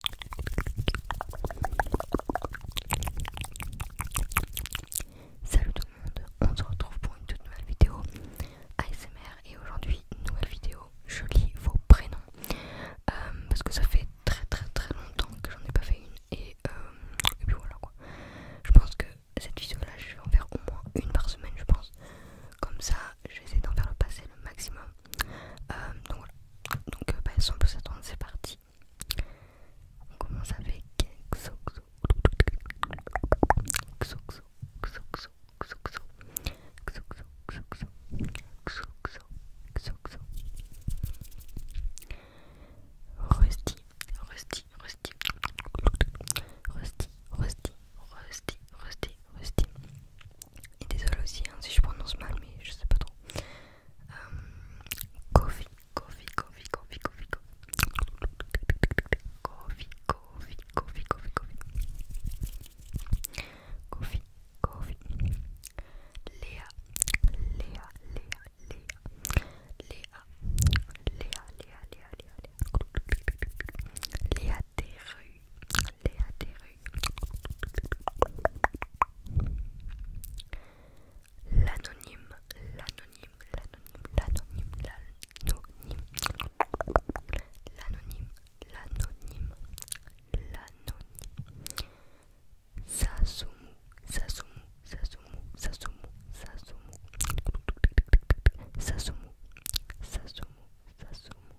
Salut tout le monde, on se retrouve pour une toute nouvelle vidéo ASMR et aujourd'hui une nouvelle vidéo, je lis vos prénoms euh, parce que ça fait très très très longtemps que j'en ai pas fait une et, euh, puis voilà quoi. Je pense que cette vidéo là je vais en faire au moins une par semaine je pense. Comme ça j'essaie d'en faire le passer le maximum euh, donc voilà. Donc euh, bah, sans plus attendre, c'est parti. On commence avec Xoxo. Xoxo, Xoxo, Xoxo. Xoxo, Xoxo, Xoxo, Xoxo. Rusty, Rusty. Rusty, Rusty, Rusty, Rusty. Rusty. désolé aussi si je prononce mal, mais je sais pas trop. Kofi, Kofi, Kofi, Kofi, Kofi, Kofi, Kofi, Kofi, Kofi, Kofi, Kofi, Léa, Léa, Léa, Léa, Léa, Léa, Léa, Léa, Léa, Léa, l'anonyme L'anonyme, l'anonyme, l'anonyme, l'anonyme, l'anonyme, l'anonyme, l'anonyme. Sasumu, Sasumu, Sasumu, Sasumu, Sasumu, Sasumu, Sasumu, Sasumu,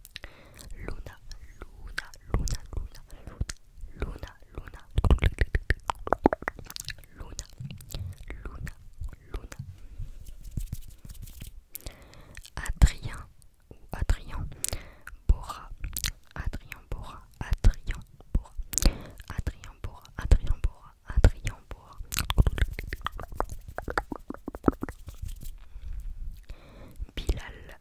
Luna, Luna, Luna, Luna, Luna, Luna, Luna, Luna, Luna. Adrien Adrien Bora, Adrien Bora, Adrien Bora, Adrien Bora, Adrien Bora, Adrien Bora. Bilal,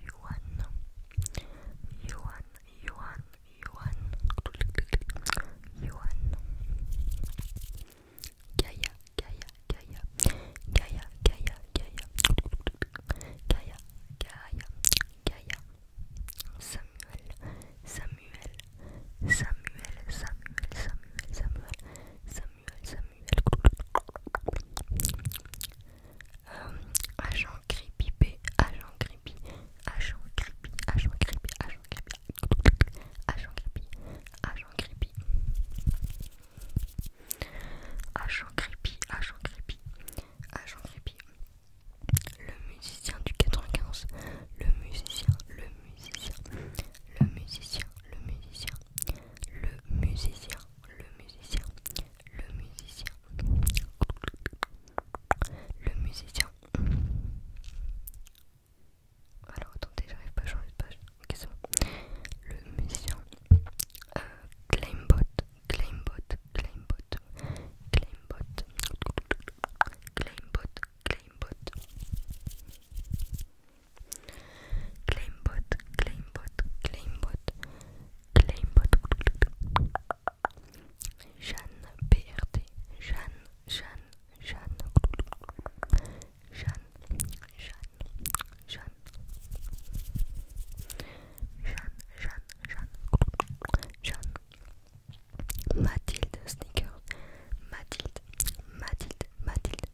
Yuan, Yuan, Yuan, Yuan, Yuan, Gaia, Gaia, Gaia, Gaia, Gaia, Gaia, Gaia, Gaia, Gaia, Samuel, Samuel, Samuel, Samuel, Samuel, Samuel, Samuel, Samuel, euh, Samuel. agent creepy, agent creepy, agent creepy, agent creepy, agent creepy, agent creepy, agent creepy, agent creepy, agent creepy, agent creepy, le musicien du 95, le musicien, le musicien, le musicien, le musicien, le musicien, le musicien, le musicien, le musicien. Alors attendez, j'arrive pas à changer de page. Ok, ça. Le musicien, euh, Claimbot, Claimbot, Claimbot, Claimbot, Claimbot, Claimbot. Claimbot, Claimbot, Claimbot, Claimbot. Jeanne PRT, Jeanne, Jeanne, Jeanne, Jeanne, Jeanne, Jeanne, Jeanne, Jeanne, Jeanne, Jeanne. Mathilde Jeanne, Mathilde, Mathilde, Mathilde,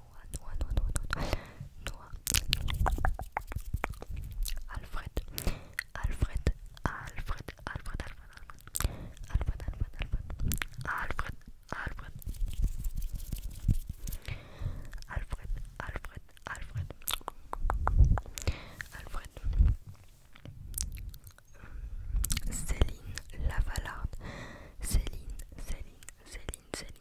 noix, noix, noix, noix, Alfred Alfred, Alfred, Alfred, Alfred, Alfred, Alfred, Alfred, Alfred, Alfred, Alfred, Alfred, Alfred, Alfred, Céline Lavalarde, Céline, Céline, Céline, Céline,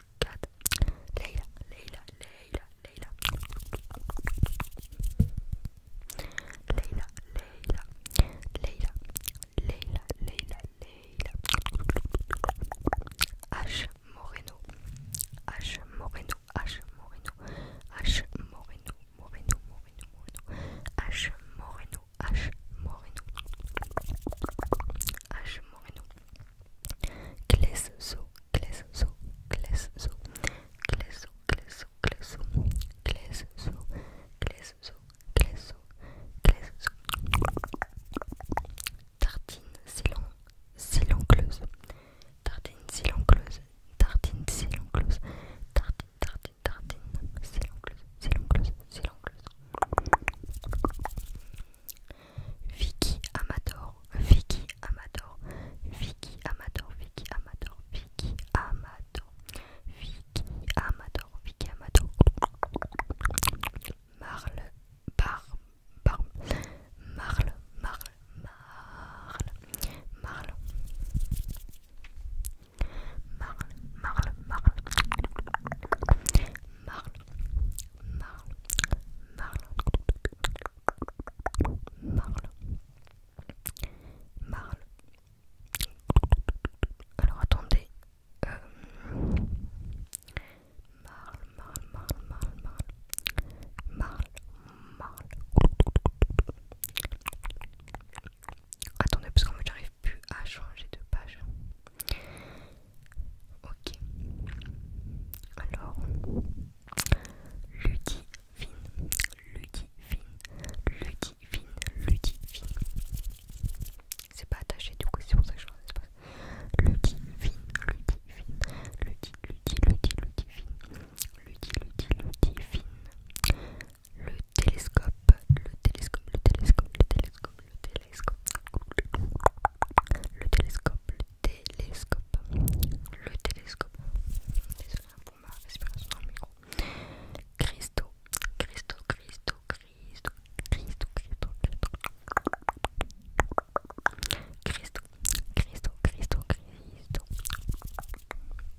Leila, Leila, Leila, Leila, Leila, Leila, Leila, Leila, Leila, H Moreno, H Moreno, H Moreno, H Moreno, Moreno, Moreno, Moreno, H Moreno, H Moreno. H. Moreno, Clesso, Tartine, Silan, Tartine, Tartine, Tartine, Vicky Amador, Vicky Amador, Vicky Amador, Vicky Amador, Vicky Amador, Vicky Amador, Vicky Amador, Marle, Marle, Marle, Marle, Marle, Marle, Marle, Marle, Marle, Marle, Marle, Marle, Marle, Marle. Alors attendez, euh... Marle, Marle, Marle, Marle, Marle, Marle, Marle. Attendez parce qu'en fait j'arrive pu à changer de page. Ok. Alors, Ludivine, Ludivine, Ludivine, Ludivine. C'est pas attaché du coup, c'est pour ça que je ne Ludi pas. Ludi Ludivine, Ludivine, Ludivine, Ludivine, Ludivine, Ludivine, le télescope, le télescope, le télescope, le télescope, le télescope, le télescope, le télescope, le télescope. pour ma respiration le télescope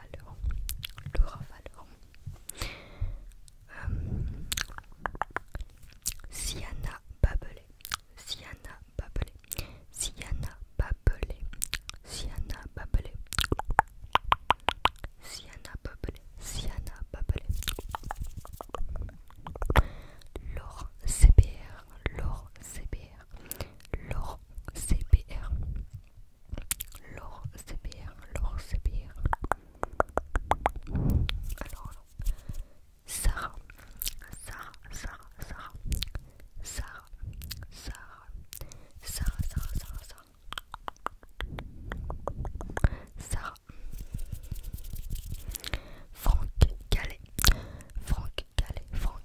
le Laura euh, Siana Babelé. Siana Babelé. Siana Babelé. Siana Babelé. Siana Babelé. Siana Lor CBR. Laure CBR. Laure CBR c'est bien, l'or c'est Alors, alors, Sarah, Sarah, Sarah, Sarah, Sarah, Sarah, Sarah, Sarah, Sarah, Sarah, Sarah, Franck Calais, Franck Calais, Franck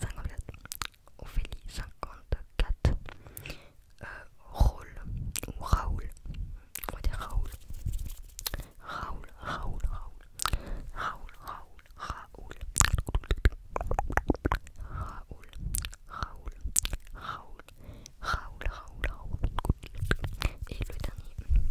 54. Ophélie, 54. Euh, Raoul, ou Raoul. On dire Raoul. Raoul, Raoul, Raoul. Raoul, Raoul, Raoul. Raoul, Raoul, Raoul. Raoul, Raoul, Raoul. Et le dernier.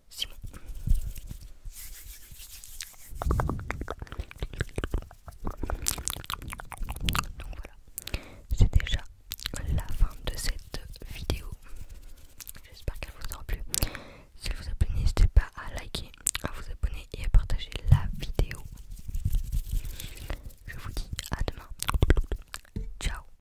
Simon. Donc voilà, c'est déjà la fin de cette vidéo. J'espère qu'elle vous aura plu. Si vous abonnez, n'hésitez pas à liker, à vous abonner et à partager la vidéo. Je vous dis à demain. Ciao